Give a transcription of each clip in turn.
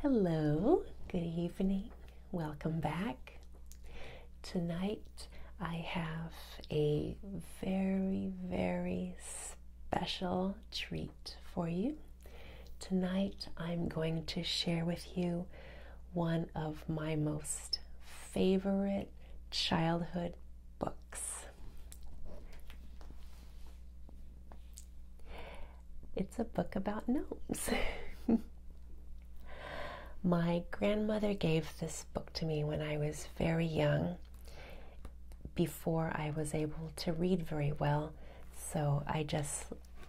Hello, good evening, welcome back. Tonight I have a very, very special treat for you. Tonight I'm going to share with you one of my most favorite childhood books. It's a book about gnomes. My grandmother gave this book to me when I was very young, before I was able to read very well. So I just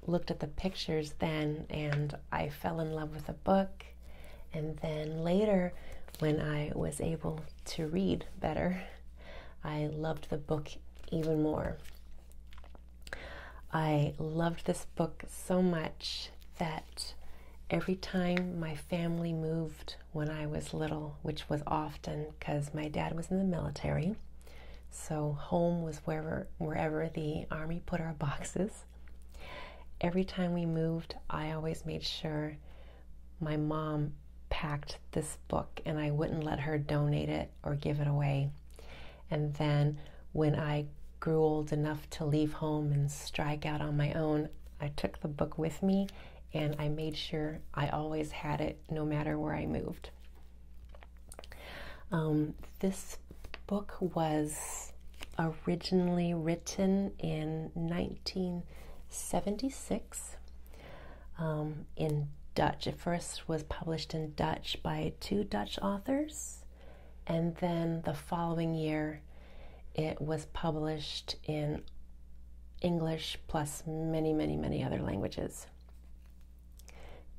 looked at the pictures then and I fell in love with the book. And then later, when I was able to read better, I loved the book even more. I loved this book so much that every time my family moved when I was little, which was often because my dad was in the military, so home was wherever wherever the army put our boxes. Every time we moved, I always made sure my mom packed this book and I wouldn't let her donate it or give it away. And then when I grew old enough to leave home and strike out on my own, I took the book with me and I made sure I always had it no matter where I moved. Um, this book was originally written in 1976 um, in Dutch. It first was published in Dutch by two Dutch authors, and then the following year it was published in English plus many, many, many other languages.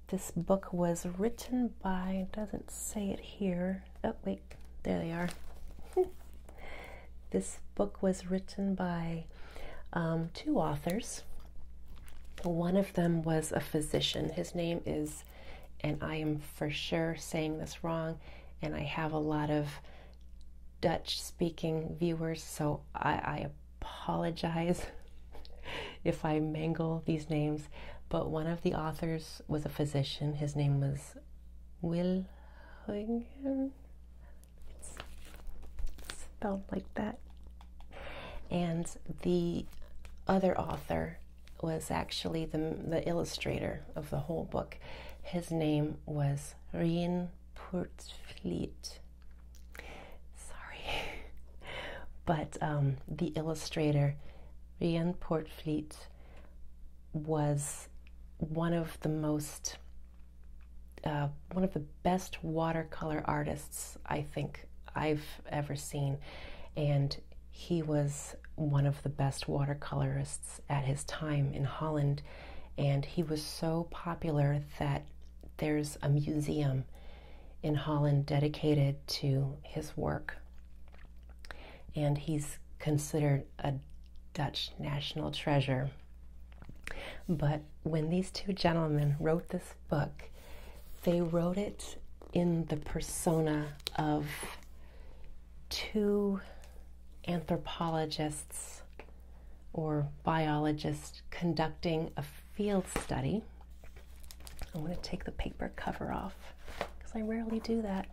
This book was written by, doesn't say it here. Oh, wait, there they are. this book was written by um, two authors one of them was a physician. His name is, and I am for sure saying this wrong, and I have a lot of Dutch speaking viewers, so I, apologize if I mangle these names. But one of the authors was a physician. His name was Huygen spelled like that. And the other author was actually the, the illustrator of the whole book. His name was Rien Portfleet. Sorry. but um, the illustrator, Rien Portfleet, was one of the most uh, one of the best watercolor artists I think I've ever seen, and he was one of the best watercolorists at his time in Holland. And he was so popular that there's a museum in Holland dedicated to his work. And he's considered a Dutch national treasure. But when these two gentlemen wrote this book, they wrote it in the persona of two anthropologists or biologists conducting a field study. I'm going to take the paper cover off because I rarely do that.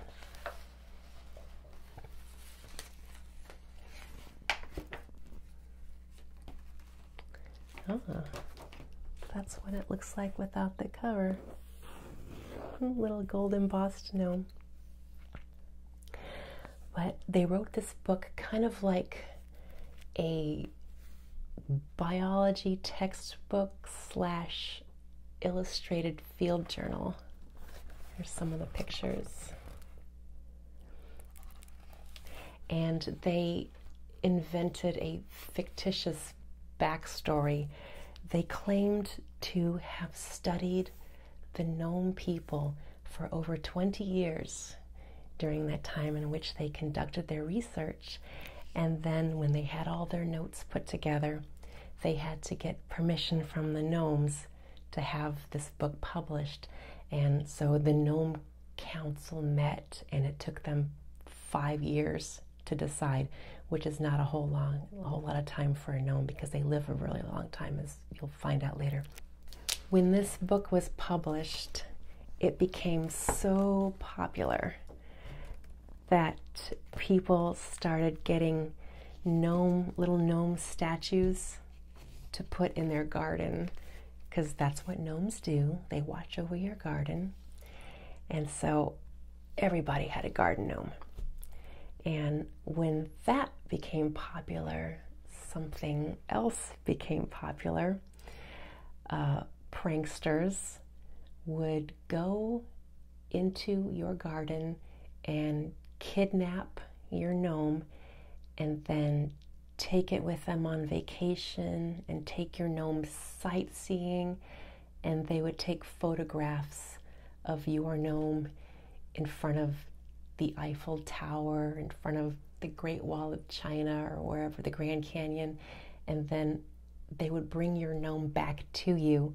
Ah, that's what it looks like without the cover. Hmm, little gold embossed no. But they wrote this book kind of like a biology textbook slash illustrated field journal. Here's some of the pictures. And they invented a fictitious backstory. They claimed to have studied the Nome people for over 20 years during that time in which they conducted their research. And then, when they had all their notes put together, they had to get permission from the gnomes to have this book published. And so the Gnome Council met, and it took them five years to decide, which is not a whole long, a whole lot of time for a gnome because they live a really long time, as you'll find out later. When this book was published, it became so popular that people started getting gnome little gnome statues to put in their garden because that's what gnomes do. They watch over your garden. And so everybody had a garden gnome. And when that became popular, something else became popular. Uh, pranksters would go into your garden and kidnap your gnome and then take it with them on vacation and take your gnome sightseeing, and they would take photographs of your gnome in front of the Eiffel Tower, in front of the Great Wall of China, or wherever, the Grand Canyon, and then they would bring your gnome back to you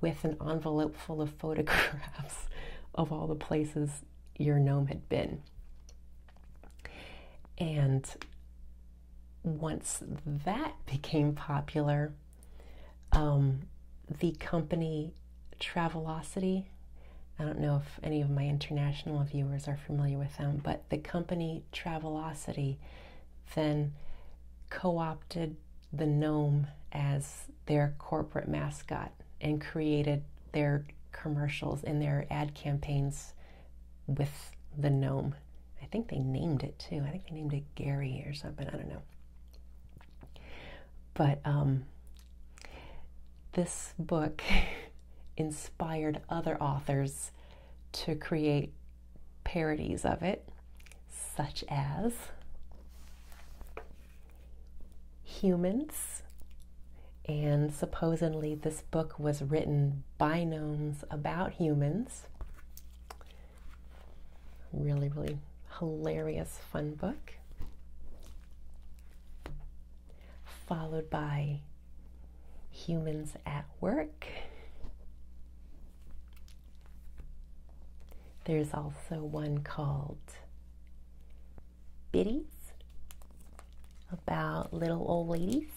with an envelope full of photographs of all the places your gnome had been. And once that became popular, um, the company Travelocity, I don't know if any of my international viewers are familiar with them, but the company Travelocity then co opted the GNOME as their corporate mascot and created their commercials and their ad campaigns with the gnome. I think they named it too. I think they named it Gary or something. I don't know. But um, this book inspired other authors to create parodies of it, such as humans. And supposedly, this book was written by gnomes about humans. Really, really hilarious, fun book. Followed by Humans at Work. There's also one called biddies about little old ladies.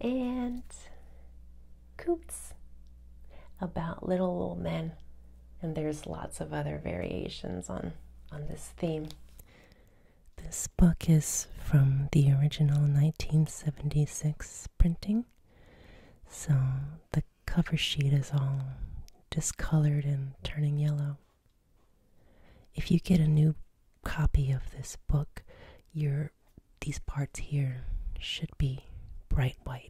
And coots about little old men. And there's lots of other variations on, on this theme. This book is from the original 1976 printing so the cover sheet is all discolored and turning yellow. If you get a new copy of this book, your these parts here should be bright white.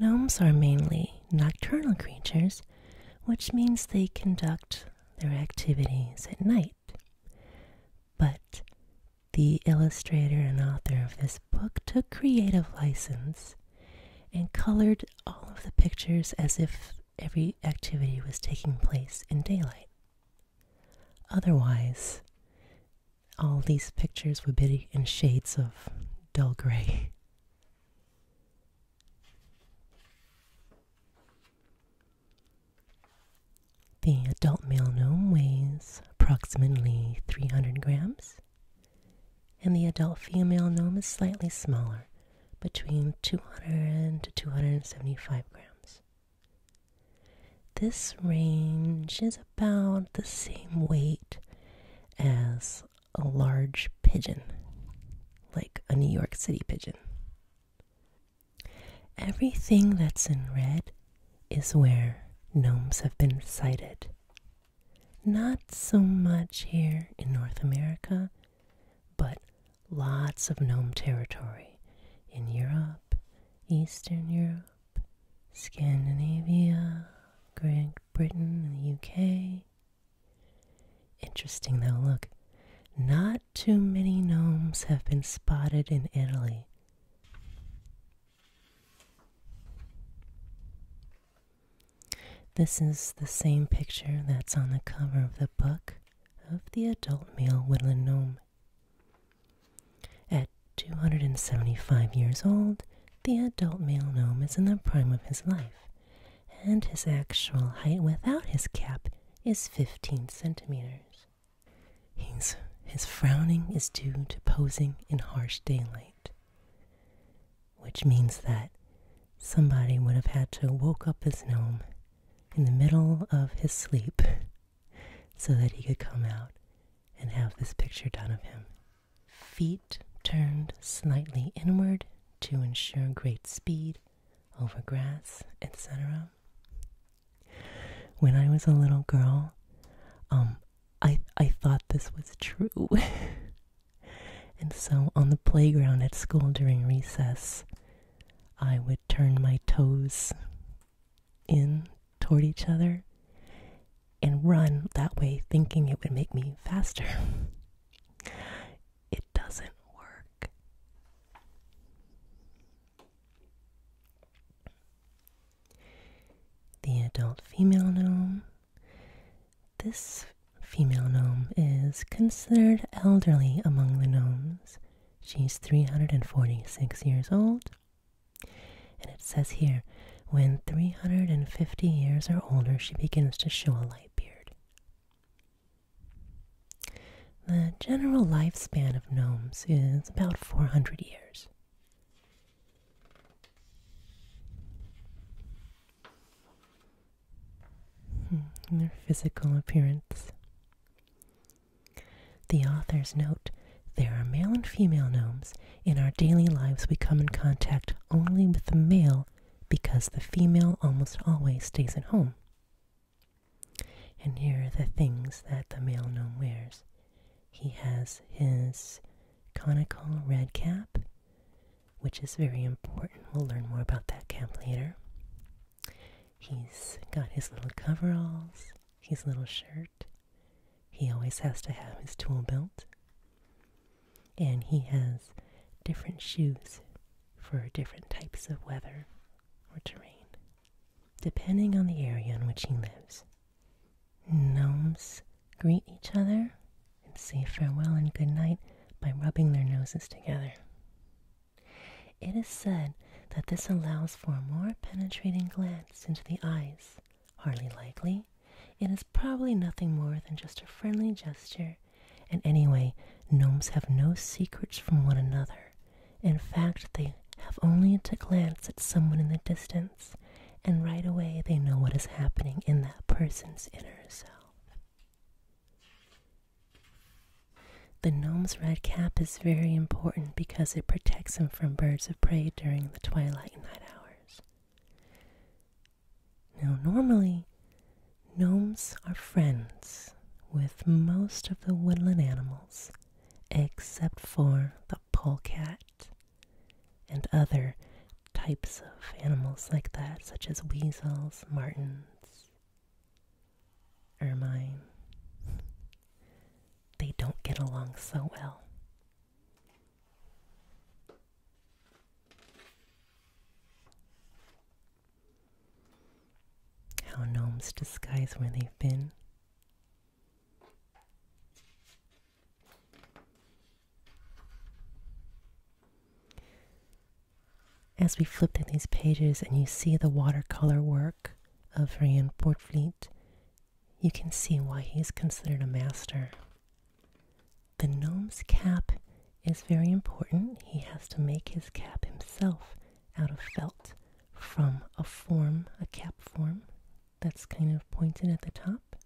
Gnomes are mainly nocturnal creatures, which means they conduct their activities at night. But the illustrator and author of this book took creative license and colored all of the pictures as if every activity was taking place in daylight. Otherwise, all these pictures would be in shades of dull gray. The adult male gnome weighs approximately 300 grams, and the adult female gnome is slightly smaller, between 200 to 275 grams. This range is about the same weight as a large pigeon, like a New York City pigeon. Everything that's in red is where gnomes have been sighted. Not so much here in North America, but lots of gnome territory in Europe, Eastern Europe, Scandinavia, Great Britain, and the UK. Interesting though, look, not too many gnomes have been spotted in Italy. This is the same picture that's on the cover of the book of the adult male woodland gnome. At 275 years old, the adult male gnome is in the prime of his life, and his actual height without his cap is 15 centimeters. He's, his frowning is due to posing in harsh daylight, which means that somebody would have had to woke up his gnome in the middle of his sleep so that he could come out and have this picture done of him. Feet turned slightly inward to ensure great speed over grass, etc. When I was a little girl, um, I I thought this was true. and so on the playground at school during recess, I would turn my toes in toward each other and run that way thinking it would make me faster. It doesn't work. The adult female gnome. This female gnome is considered elderly among the gnomes. She's 346 years old. And it says here, when 350 years or older, she begins to show a light beard. The general lifespan of gnomes is about 400 years. Hmm, their physical appearance. The authors note there are male and female gnomes. In our daily lives, we come in contact only with the male because the female almost always stays at home. And here are the things that the male gnome wears. He has his conical red cap, which is very important. We'll learn more about that cap later. He's got his little coveralls, his little shirt. He always has to have his tool belt. And he has different shoes for different types of weather or terrain depending on the area in which he lives. Gnomes greet each other and say farewell and good night by rubbing their noses together. It is said that this allows for a more penetrating glance into the eyes. Hardly likely, it is probably nothing more than just a friendly gesture, and anyway, gnomes have no secrets from one another. In fact, they have only to glance at someone in the distance, and right away they know what is happening in that person's inner self. The gnome's red cap is very important because it protects him from birds of prey during the twilight and night hours. Now, normally, gnomes are friends with most of the woodland animals, except for the polecat and other types of animals like that, such as weasels, martens, ermine. They don't get along so well. How gnomes disguise where they've been. As we flip through these pages and you see the watercolor work of Van Portfleet, you can see why he is considered a master. The gnome's cap is very important. He has to make his cap himself out of felt from a form, a cap form that's kind of pointed at the top.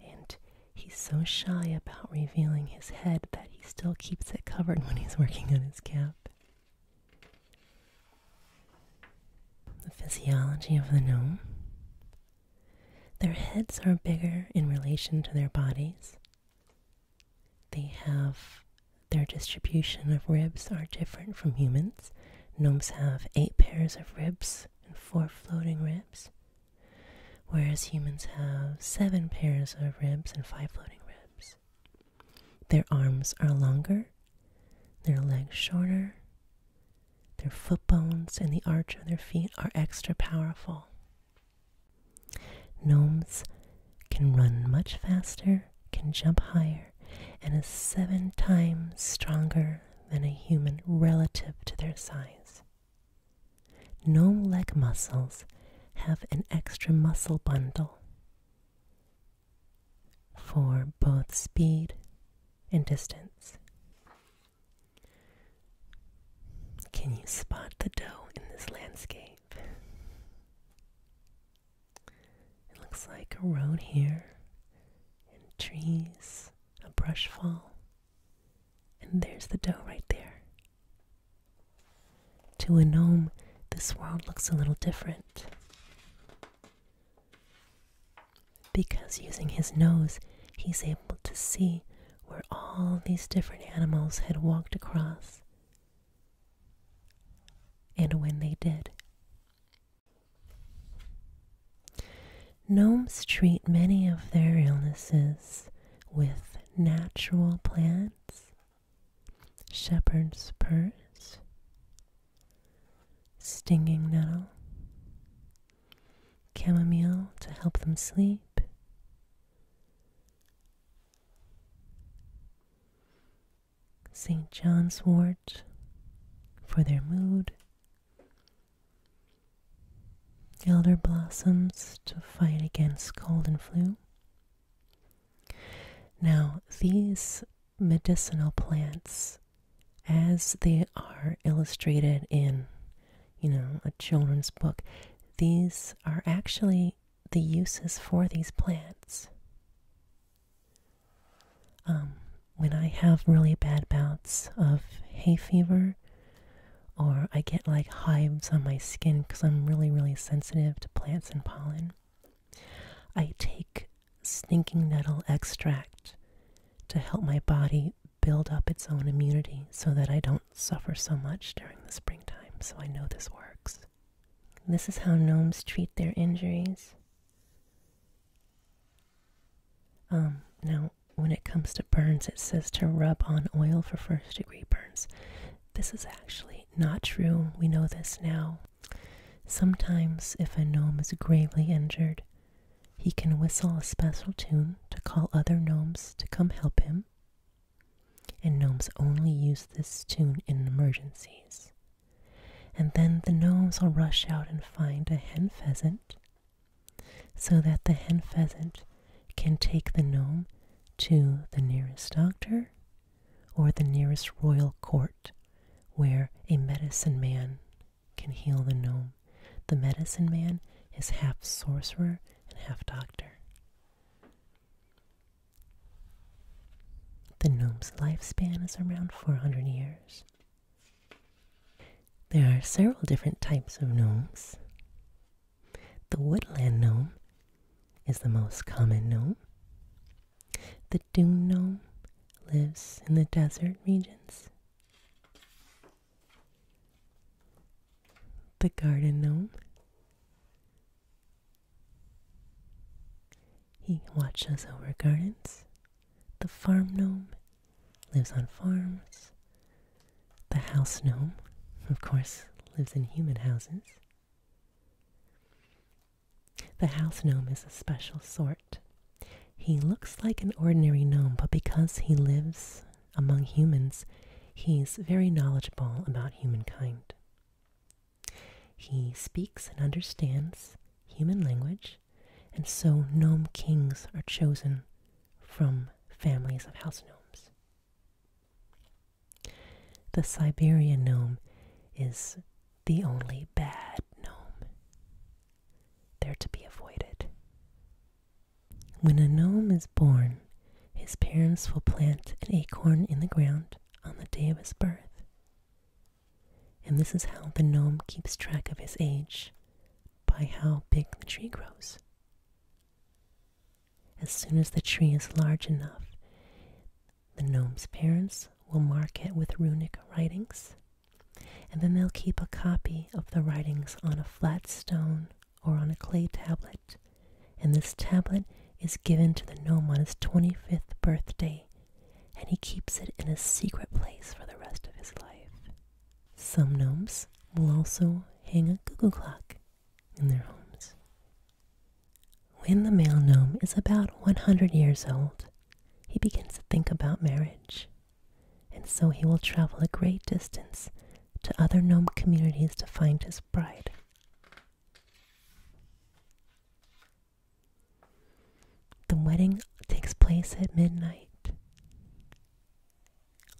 And he's so shy about revealing his head that he still keeps it covered when he's working on his cap. The physiology of the gnome. Their heads are bigger in relation to their bodies. They have their distribution of ribs are different from humans. Gnomes have eight pairs of ribs and four floating ribs, whereas humans have seven pairs of ribs and five floating ribs. Their arms are longer, their legs shorter, their foot bones and the arch of their feet are extra powerful. Gnomes can run much faster, can jump higher, and is seven times stronger than a human relative to their size. No leg muscles have an extra muscle bundle for both speed and distance. Can you spot the doe in this landscape? It looks like a road here, and trees, a brush fall, and there's the doe right there. To a gnome, this world looks a little different. Because using his nose, he's able to see where all these different animals had walked across and when they did, Gnomes treat many of their illnesses with natural plants, shepherd's purse, stinging nettle, chamomile to help them sleep, St. John's wort for their mood, elder blossoms to fight against cold and flu. Now, these medicinal plants, as they are illustrated in, you know, a children's book, these are actually the uses for these plants. Um, when I have really bad bouts of hay fever, or I get like hives on my skin because I'm really, really sensitive to plants and pollen, I take stinking nettle extract to help my body build up its own immunity so that I don't suffer so much during the springtime. So I know this works. This is how gnomes treat their injuries. Um, now, when it comes to burns, it says to rub on oil for first degree burns. This is actually not true. We know this now. Sometimes, if a gnome is gravely injured, he can whistle a special tune to call other gnomes to come help him and gnomes only use this tune in emergencies. And then the gnomes will rush out and find a hen pheasant so that the hen pheasant can take the gnome to the nearest doctor or the nearest royal court where a medicine man can heal the gnome. The medicine man is half sorcerer and half doctor. The gnome's lifespan is around 400 years. There are several different types of gnomes. The woodland gnome is the most common gnome. The dune gnome lives in the desert regions. The garden gnome he watches over gardens. The farm gnome lives on farms. The house gnome, of course, lives in human houses. The house gnome is a special sort. He looks like an ordinary gnome, but because he lives among humans, he's very knowledgeable about humankind. He speaks and understands human language, and so gnome kings are chosen from families of house gnomes. The Siberian gnome is the only bad gnome. They're to be avoided. When a gnome is born, his parents will plant an acorn in the ground on the day of his birth. And this is how the gnome keeps track of his age by how big the tree grows. As soon as the tree is large enough, the gnome's parents will mark it with runic writings, and then they'll keep a copy of the writings on a flat stone or on a clay tablet, and this tablet is given to the gnome on his 25th birthday, and he keeps it in a secret place for the rest of his life. Some gnomes will also hang a cuckoo clock in their homes. When the male gnome is about 100 years old, he begins to think about marriage, and so he will travel a great distance to other gnome communities to find his Bride. The wedding takes place at midnight,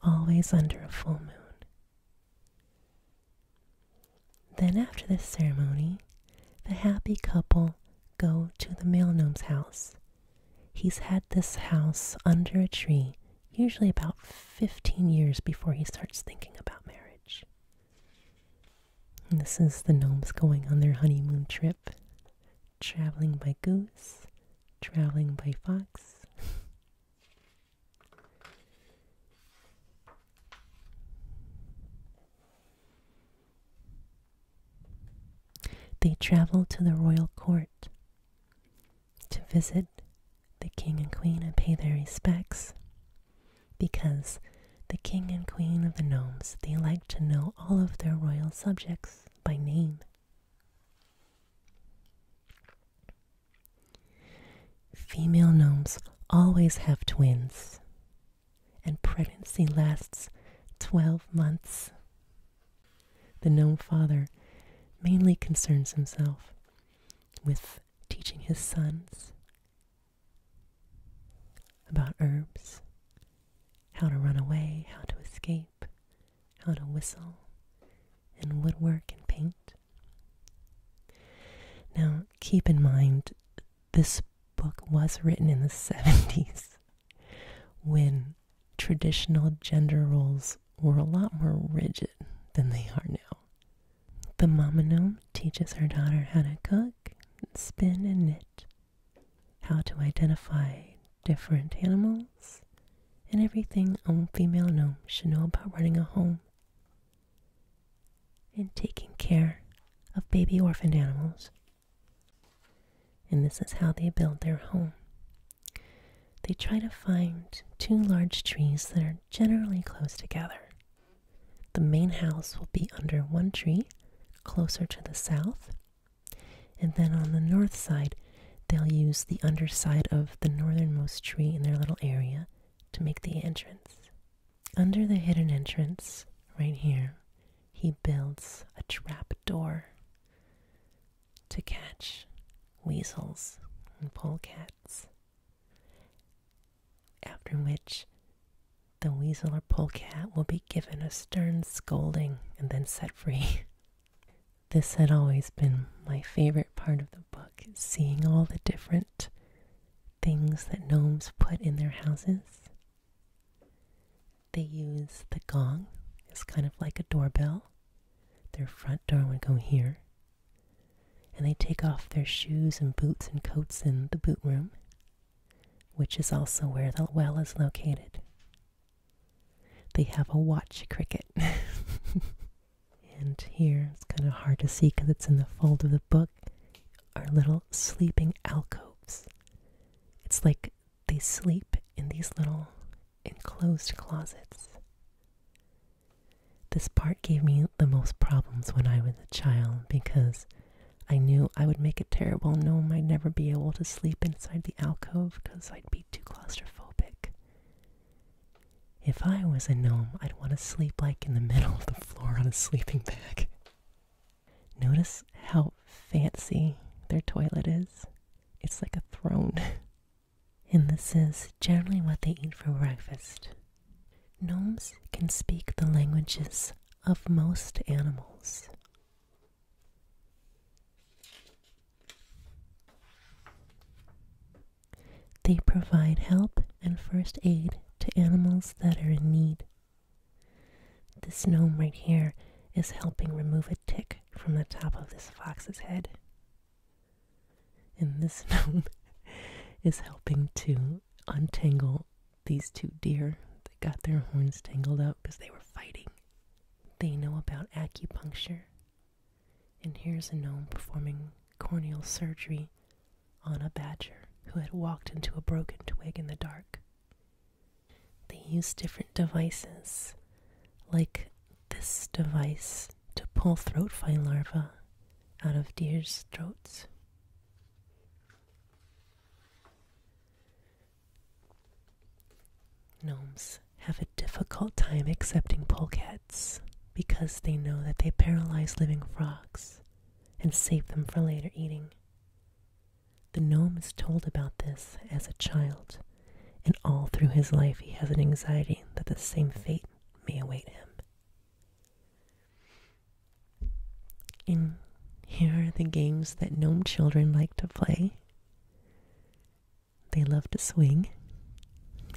always under a full moon. Then, after this ceremony, the happy couple go to the male gnome's house. He's had this house under a tree usually about 15 years before he starts thinking about marriage. this is the gnomes going on their honeymoon trip, traveling by goose, traveling by fox. They travel to the royal court to visit the king and queen and pay their respects because the king and queen of the gnomes they like to know all of their royal subjects by name. Female gnomes always have twins, and pregnancy lasts 12 months. The gnome father mainly concerns himself with teaching his sons about herbs, how to run away, how to escape, how to whistle, and woodwork and paint. Now, keep in mind, this book was written in the 70s when traditional gender roles were a lot more rigid than they are now. The mama gnome teaches her daughter how to cook, spin, and knit, how to identify different animals, and everything a female gnome should know about running a home and taking care of baby orphaned animals. And this is how they build their home. They try to find two large trees that are generally close together. The main house will be under one tree, closer to the south, and then on the north side, they'll use the underside of the northernmost tree in their little area to make the entrance. Under the hidden entrance, right here, he builds a trap door to catch weasels and polecat. After which, the weasel or polecat will be given a stern scolding and then set free. this had always been my favorite part of the book, seeing all the different things that gnomes put in their houses. They use the gong, it's kind of like a doorbell. Their front door would go here, and they take off their shoes and boots and coats in the boot room, which is also where the well is located. They have a watch cricket. and here, it's kind of hard to see because it's in the fold of the book, are little sleeping alcoves. It's like they sleep in these little enclosed closets. This part gave me the most problems when I was a child because I knew I would make it terrible No, I'd never be able to sleep inside the alcove because I'd be too claustrophobic. If I was a gnome, I'd want to sleep like in the middle of the floor on a sleeping bag. Notice how fancy their toilet is. It's like a throne. and this is generally what they eat for breakfast. Gnomes can speak the languages of most animals. They provide help and first aid to animals that are in need. This gnome right here is helping remove a tick from the top of this fox's head. And this gnome is helping to untangle these two deer that got their horns tangled up because they were fighting. They know about acupuncture. And here's a gnome performing corneal surgery on a badger who had walked into a broken twig in the dark. They use different devices, like this device to pull throat fly larvae out of deer's throats. Gnomes have a difficult time accepting polecats because they know that they paralyze living frogs and save them for later eating. The gnome is told about this as a child and all through his life he has an anxiety that the same fate may await him. here are the games that gnome children like to play. They love to swing,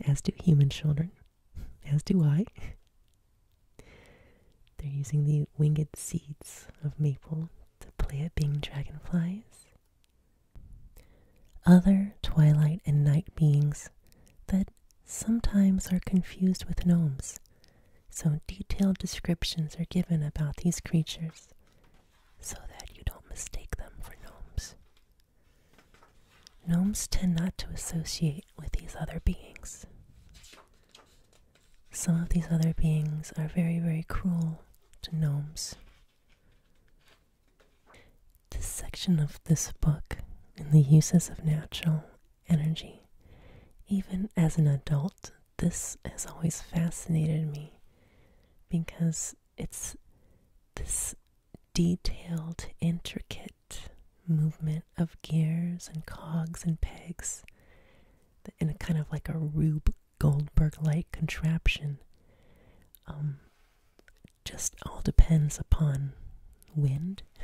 as do human children, as do I. They're using the winged seeds of maple to play at being dragonflies. Other twilight and night beings that sometimes are confused with gnomes, so detailed descriptions are given about these creatures so that you don't mistake them for gnomes. Gnomes tend not to associate with these other beings. Some of these other beings are very, very cruel to gnomes. This section of this book in the uses of natural energy. Even as an adult, this has always fascinated me because it's this detailed, intricate movement of gears and cogs and pegs in a kind of like a rube Goldberg like contraption. Um, just all depends upon wind.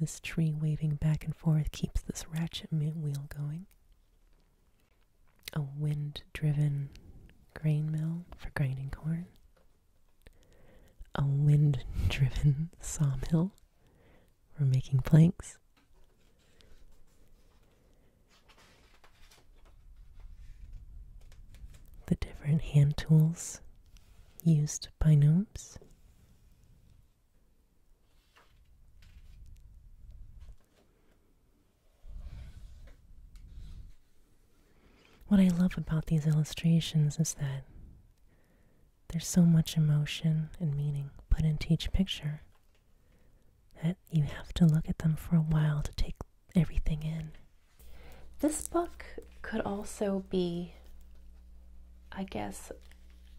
This tree waving back and forth keeps this ratchet wheel going. A wind driven grain mill for grinding corn. A wind driven sawmill for making planks the different hand tools used by gnomes. What I love about these illustrations is that there's so much emotion and meaning put into each picture that you have to look at them for a while to take everything in. This book could also be, I guess,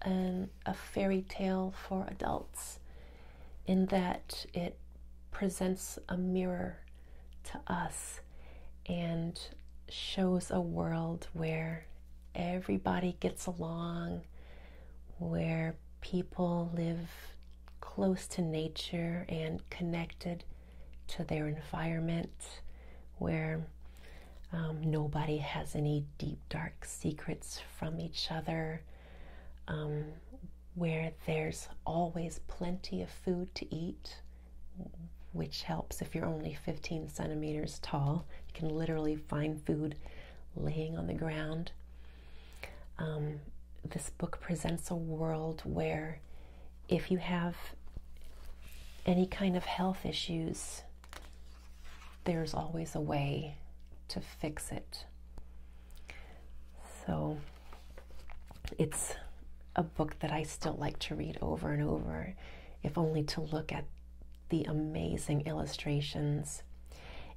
a fairy tale for adults in that it presents a mirror to us and shows a world where everybody gets along, where people live close to nature and connected to their environment where um, nobody has any deep, dark secrets from each other, um, where there's always plenty of food to eat, which helps if you're only 15 centimeters tall. You can literally find food laying on the ground. Um, this book presents a world where if you have any kind of health issues, there's always a way to fix it. So it's a book that I still like to read over and over, if only to look at the amazing illustrations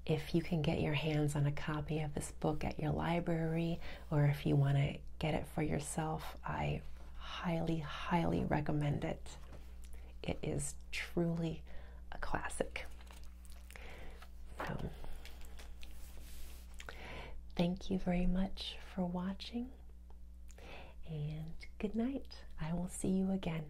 if you can get your hands on a copy of this book at your library, or if you want to get it for yourself, I highly, highly recommend it. It is truly a classic. Um, thank you very much for watching, and good night. I will see you again.